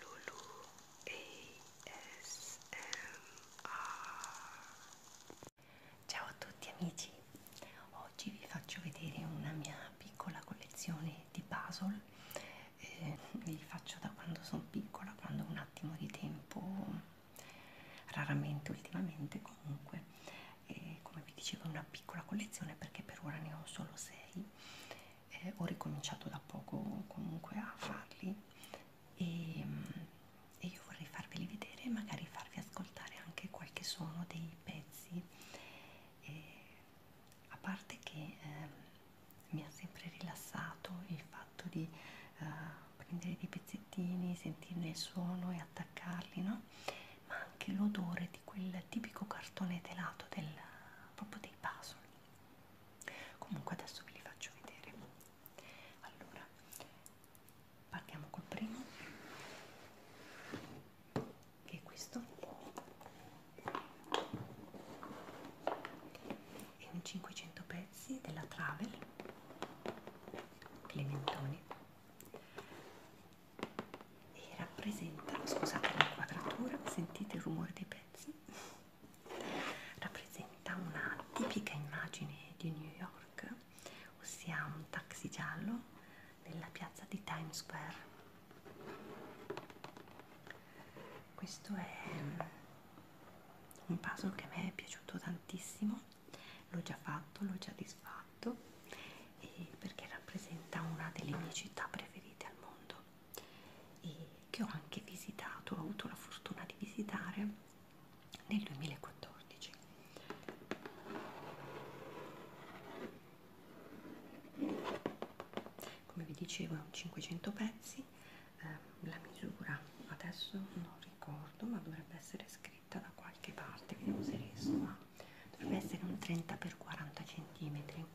Lulu ASMR Ciao a tutti amici, oggi vi faccio vedere una mia piccola collezione di puzzle eh, li faccio da quando sono piccola, quando ho un attimo di tempo, raramente ultimamente comunque e eh, come vi dicevo è una piccola collezione perché per ora ne ho solo 6 eh, ho ricominciato da poco comunque a farli e, mm, e io vorrei farveli vedere e magari farvi ascoltare anche qualche suono dei pezzi e, a parte che eh, mi ha sempre rilassato il fatto di eh, prendere dei pezzettini sentirne il suono e attaccarli no? ma anche l'odore di quel tipico cartone telato del, proprio dei puzzle comunque adesso ve li faccio vedere allora partiamo col primo che è questo è un 500 pezzi della Travel Clementoni e rappresenta, scusate l'inquadratura, sentite il rumore dei pezzi rappresenta una tipica immagine di New York, ossia un taxi giallo nella piazza di Times Square. Questo è mm, un puzzle che a me è piaciuto tantissimo, l'ho già fatto, l'ho già disfatto e perché rappresenta una delle mie città preferite al mondo e che ho anche visitato, ho avuto la fortuna di visitare nel 2014. Come vi dicevo è un 500 pezzi, eh, la misura adesso non ricordo ma dovrebbe essere scritta da qualche parte, vediamo se riesco a dovrebbe essere un 30 x 40 cm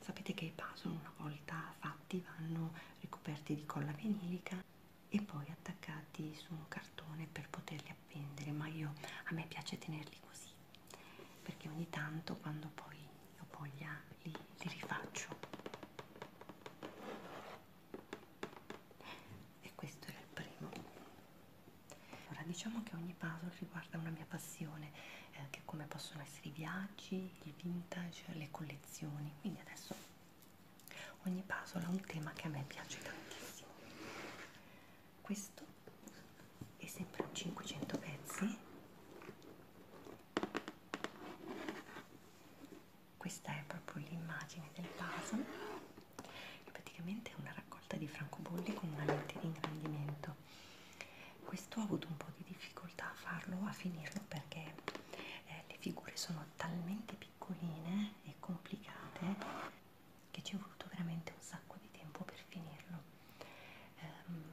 Sapete che i puzzle una volta fatti vanno ricoperti di colla vinilica e poi attaccati su un cartone per poterli appendere, ma io a me piace tenerli così perché ogni tanto quando poi ho voglia li, li rifaccio. E questo era il primo. Allora, diciamo che ogni puzzle riguarda una mia passione eh, come possono essere i viaggi, il vintage, le collezioni. Quindi adesso ogni puzzle ha un tema che a me piace tantissimo. Questo è sempre un 500 pezzi. Questa è proprio l'immagine del puzzle, che praticamente è una raccolta di francobolli con una lente di ingrandimento questo ho avuto un po' di difficoltà a farlo, a finirlo perché eh, le figure sono talmente piccoline e complicate che ci è voluto veramente un sacco di tempo per finirlo. Um,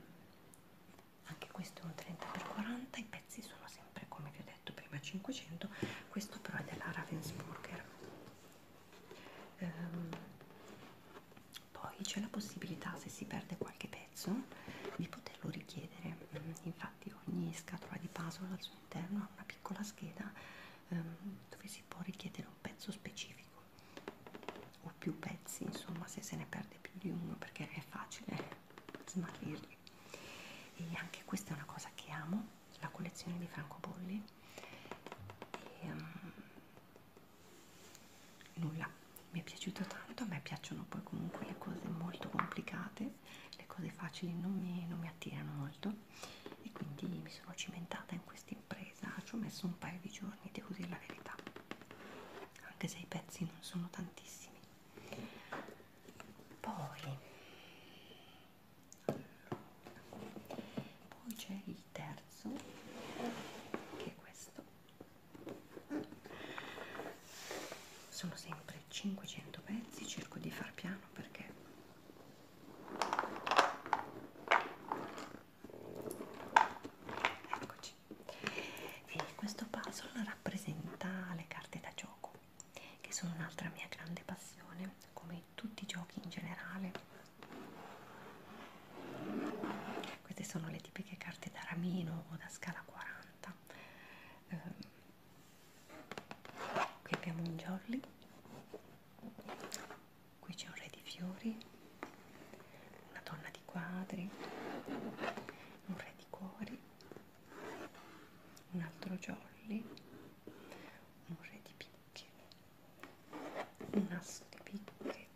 anche questo è un 30x40, i pezzi sono sempre come vi ho detto prima 500, questo però è della Ravensburger. Um, poi c'è la possibilità se si perde qualche pezzo di poterlo richiedere mm, infatti ogni scatola di puzzle al suo interno ha una piccola scheda ehm, dove si può richiedere un pezzo specifico o più pezzi insomma se se ne perde più di uno perché è facile smarrirli e anche questa è una cosa che amo la collezione di francobolli e, um, nulla mi è piaciuto tanto a me piacciono poi comunque le cose molto complicate le cose facili non mi, non mi attirano molto e quindi mi sono cimentata in questa impresa ci ho messo un paio di giorni devo dire la verità anche se i pezzi non sono tantissimi poi, poi c'è il terzo che è questo sono sempre 500 pezzi cerco di far piano perché eccoci e questo puzzle rappresenta le carte da gioco che sono un'altra mia grande passione come tutti i giochi in generale queste sono le tipiche carte da ramino o da scala 40 eh, qui abbiamo un jolly qui c'è un re di fiori una donna di quadri un re di cuori un altro jolly un re di picche un asso di picche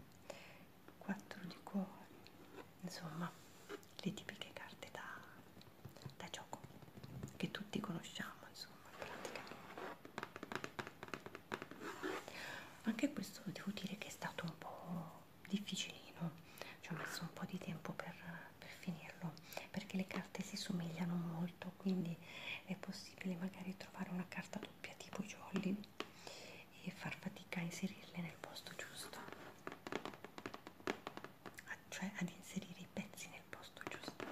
quattro di cuori, insomma le tipiche carte da, da gioco che tutti conosciamo, insomma, in pratica. Anche questo devo dire che è stato un po' difficilino, ci ho messo un po' di tempo per, per finirlo, perché le carte si somigliano molto, quindi è possibile magari trovare una carta doppia tipo i jolly e far fatica a inserirle nel posto giusto a, cioè ad inserire i pezzi nel posto giusto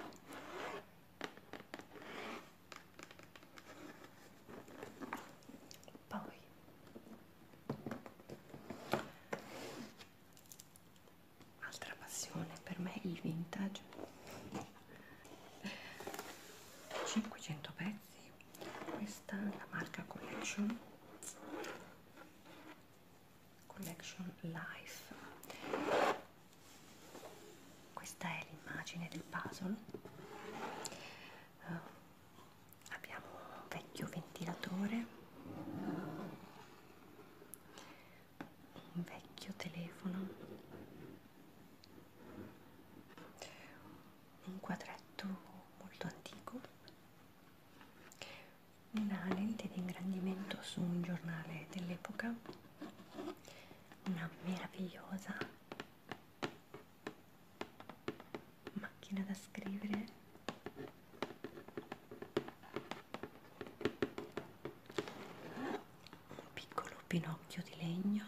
poi altra passione per me il vintage 500 pezzi ragazzi questa è la marca collection collection life questa è l'immagine del puzzle uh, abbiamo un vecchio ventilatore un vecchio telefono un quadretto molto antico, una lente di ingrandimento su un giornale dell'epoca, una meravigliosa macchina da scrivere un piccolo pinocchio di legno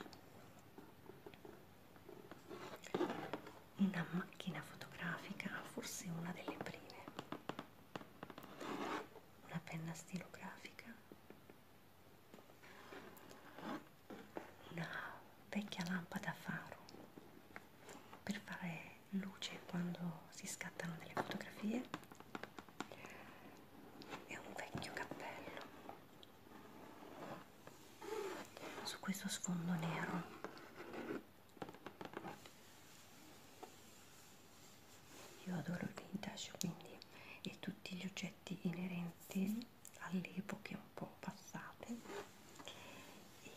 una macchina fotografica, forse una delle prime, una penna stilografica, una vecchia lampada a faro per fare luce quando si scattano delle fotografie e un vecchio cappello su questo sfondo nero io adoro il vintage quindi e tutti gli oggetti inerenti alle epoche un po' passate e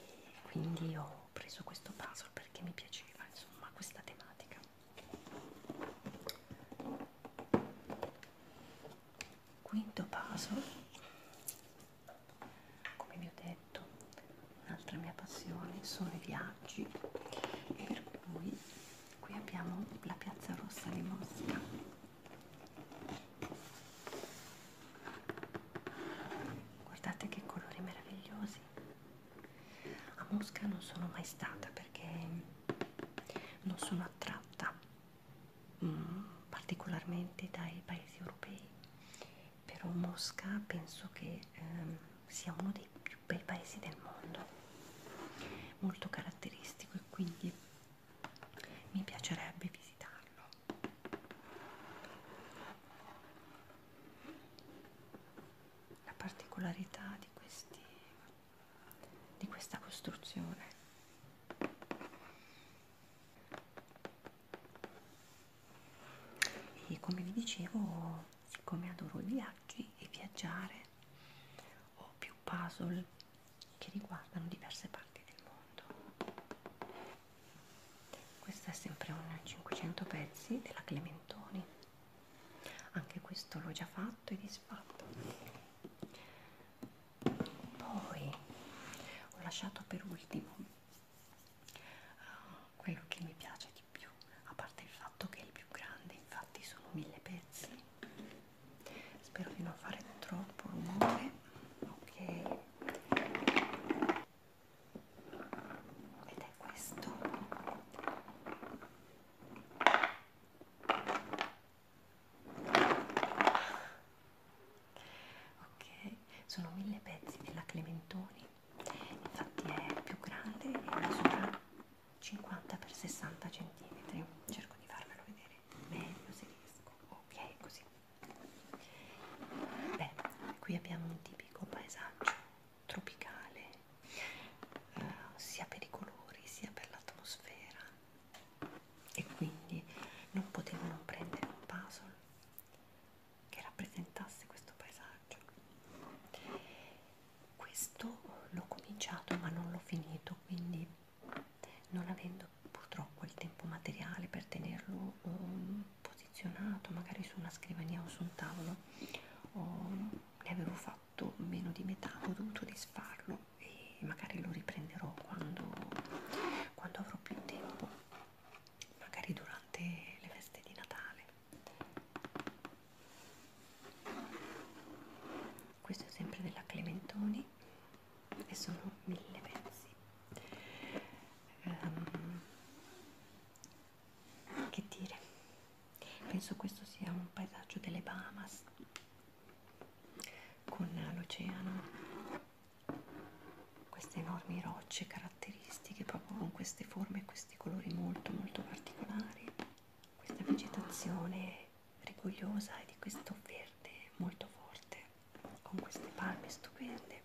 quindi ho preso questo puzzle perché mi piaceva insomma questa tematica quinto paso come vi ho detto un'altra mia passione sono i viaggi per cui qui abbiamo la piazza rossa di Mosca guardate che colori meravigliosi a Mosca non sono mai stata perché non sono attratta mh, mm, particolarmente dai paesi europei, però Mosca penso che ehm, sia uno dei più bei paesi del mondo, molto caratteristico e quindi mi piacerebbe visitarlo. La particolarità di, questi, di questa costruzione e come vi dicevo siccome adoro i viaggi e viaggiare ho più puzzle che riguardano diverse parti del mondo questo è sempre un 500 pezzi della Clementoni anche questo l'ho già fatto e disfatto poi ho lasciato per ultimo uh, quello che mi piace di più a parte il fatto che è il più grande infatti sono mille pezzi spero di non fare troppo rumore ok ed è questo ok sono mille pezzi della clementoni infatti è più grande e misura 50 x 60 cm cerco di farvelo vedere meglio se riesco ok così beh qui abbiamo un tipico paesaggio tropicale eh, sia per i colori sia per l'atmosfera e quindi non potevo non prendere un puzzle che rappresentasse questo paesaggio. Questo l'ho cominciato ma non l'ho finito, quindi non avendo purtroppo il tempo materiale per tenerlo um, posizionato magari su una scrivania o su un tavolo, um, ne avevo fatto meno di metà, ho dovuto disfarlo e magari lo riprenderò quando, quando avrò più tempo, magari durante le feste di Natale. Questo è sempre della Clementoni e sono mille pezzi. Um, che dire, penso questo sia un paesaggio delle Bahamas con l'oceano, queste enormi rocce caratteristiche proprio con queste forme e questi colori molto molto particolari, questa vegetazione rigogliosa e di questo verde molto forte con queste palme stupende,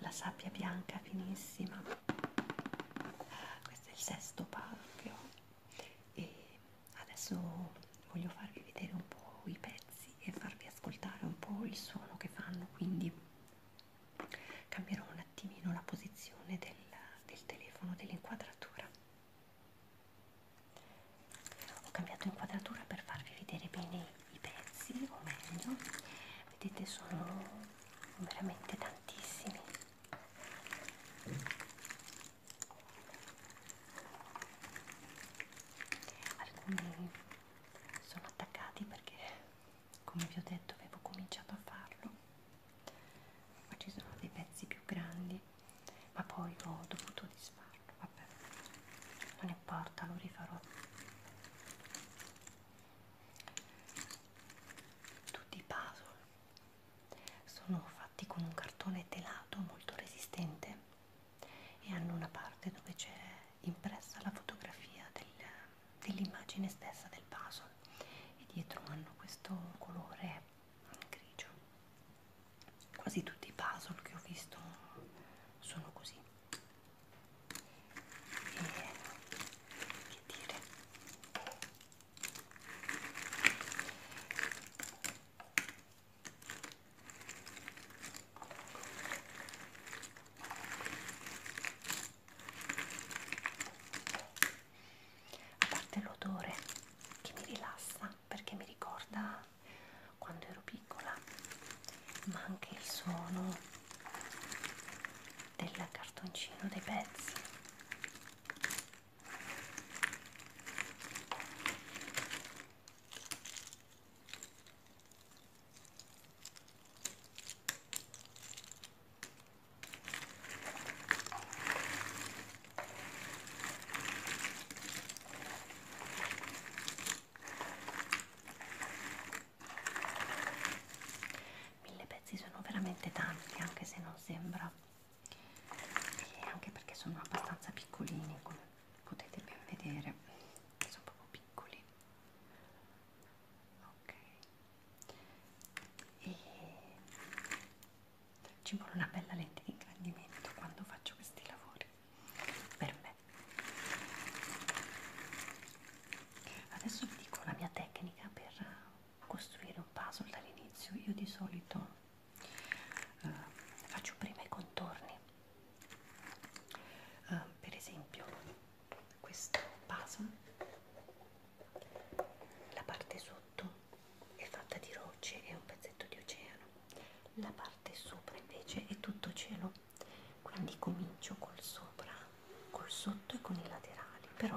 la sabbia bianca finissima, questo è il sesto palco e adesso voglio farvi vedere un po' i pezzi e farvi ascoltare un po' il suono che fanno quindi cambierò un attimino la posizione del, del telefono dell'inquadratura ho cambiato inquadratura per farvi vedere bene i pezzi o meglio vedete sono veramente tantissimi alcuni sono attaccati perché come vi ho detto avevo cominciato a farlo ma ci sono dei pezzi più grandi ma poi ho dovuto disfarlo vabbè non importa lo rifarò tutti i puzzle sono fatti con un cartone telato molto resistente e hanno una parte dove c'è impressa la fotografia del, dell'immagine stessa del puzzle e dietro hanno questo colore grigio. Quasi tutti i puzzle che ho visto sono così. E, che dire? a parte l'odore che mi rilassa perché mi ricorda quando ero piccola ma anche il suono del cartoncino dei pezzi Mille pezzi sono veramente tanti, anche se non sembra e anche perché sono abbastanza piccolini come potete ben vedere sono proprio piccoli ok e ci vuole una bella lente di ingrandimento quando faccio questi lavori per me adesso vi dico la mia tecnica per costruire un puzzle dall'inizio io di solito uh, faccio prima i contorni uh, per esempio questo vaso la parte sotto è fatta di rocce e un pezzetto di oceano la parte sopra invece è tutto cielo quindi comincio col sopra col sotto e con i laterali però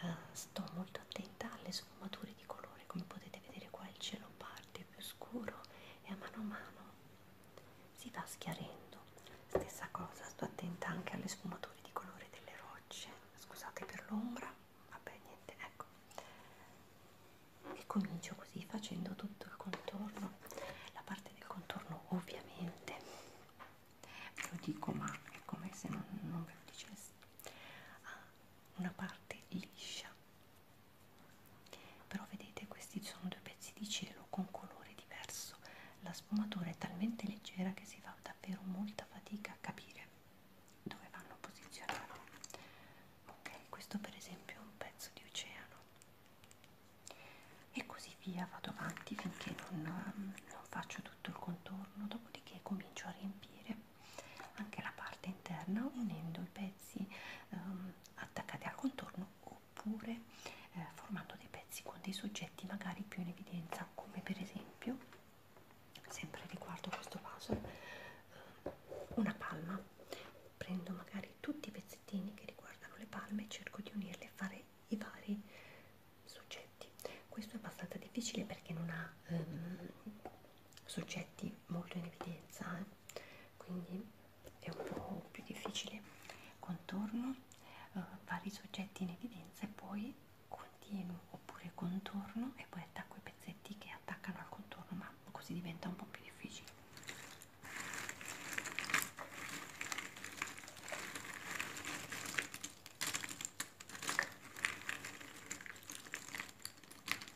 uh, sto molto attenta alle sfumature di colore come potete vedere qua il cielo parte più scuro e a mano a mano si va schiarendo stessa cosa sto attenta anche alle sfumature di colore delle rocce scusate per l'ombra vabbè niente ecco e comincio così facendo tutto il contorno la parte del contorno ovviamente ve lo dico ma è come se non, non ve lo dicessi ha ah, una parte liscia però vedete questi sono due pezzi di cielo con colore diverso la sfumatura è talmente leggera che si fa davvero molta fatica a capire dove vanno posizionati ok questo per esempio è un pezzo di oceano e così via vado avanti finché non, ehm, non faccio tutto il contorno dopodiché comincio a riempire anche la parte interna unendo i pezzi ehm, attaccati al contorno oppure eh, formando dei pezzi con dei soggetti magari più in evidenza come per esempio sempre riguardo questo vaso ehm, una palma prendo magari tutti i pezzettini che riguardano le palme e cerco di unirli e fare i vari soggetti questo è abbastanza difficile perché non ha ehm, soggetti molto in evidenza eh? quindi è un po' più difficile contorno eh, vari soggetti in evidenza e poi continuo oppure contorno e poi attacco i pezzetti che attaccano al contorno ma così diventa un po' più difficile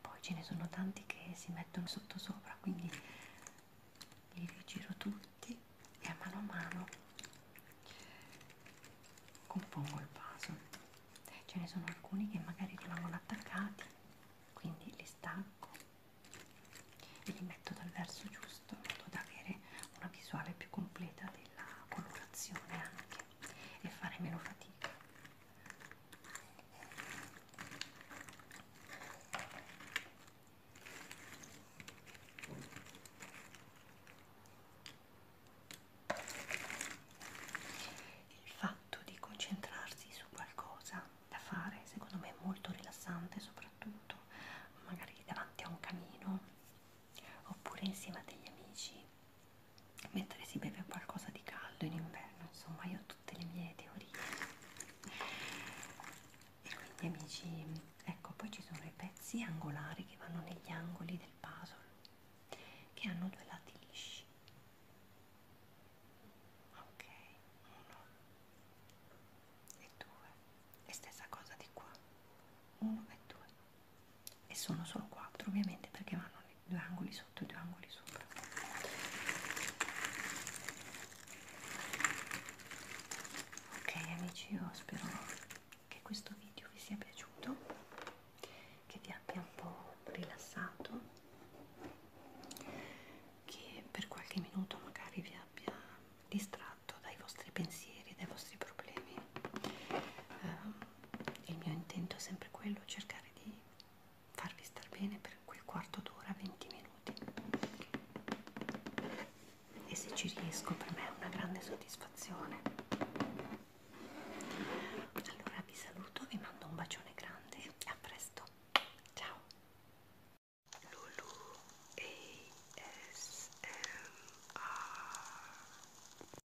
poi ce ne sono tanti che si mettono sotto sopra quindi li rigiro tutti e a mano a mano compongo il vaso ce ne sono alcuni che magari rimangono attaccati quindi li stacco e li metto dal verso giusto in modo da avere una visuale più completa della colorazione anche e fare meno fatica il fatto di concentrarsi su qualcosa da fare secondo me è molto rilassante soprattutto magari davanti a un camino oppure insieme a degli amici mentre si beve qualcosa di caldo in inverno insomma io ho tutte le mie teorie e quindi amici ecco poi ci sono i pezzi angolari che vanno negli angoli del puzzle che hanno due lati lisci ok uno e due e stessa cosa di qua uno e due e sono solo 4 ovviamente perché vanno due angoli sotto e due angoli sopra ok amici io spero che questo video vi sia piaciuto che vi abbia un po' rilassato che per qualche minuto magari vi abbia distratto dai vostri pensieri dai vostri problemi eh, il mio intento è sempre quello, cercare di farvi star bene per quel quarto d'ora, 20 minuti e se ci riesco per me è una grande soddisfazione allora vi saluto, vi mando un bacione grande e a presto, ciao Lulu ASMR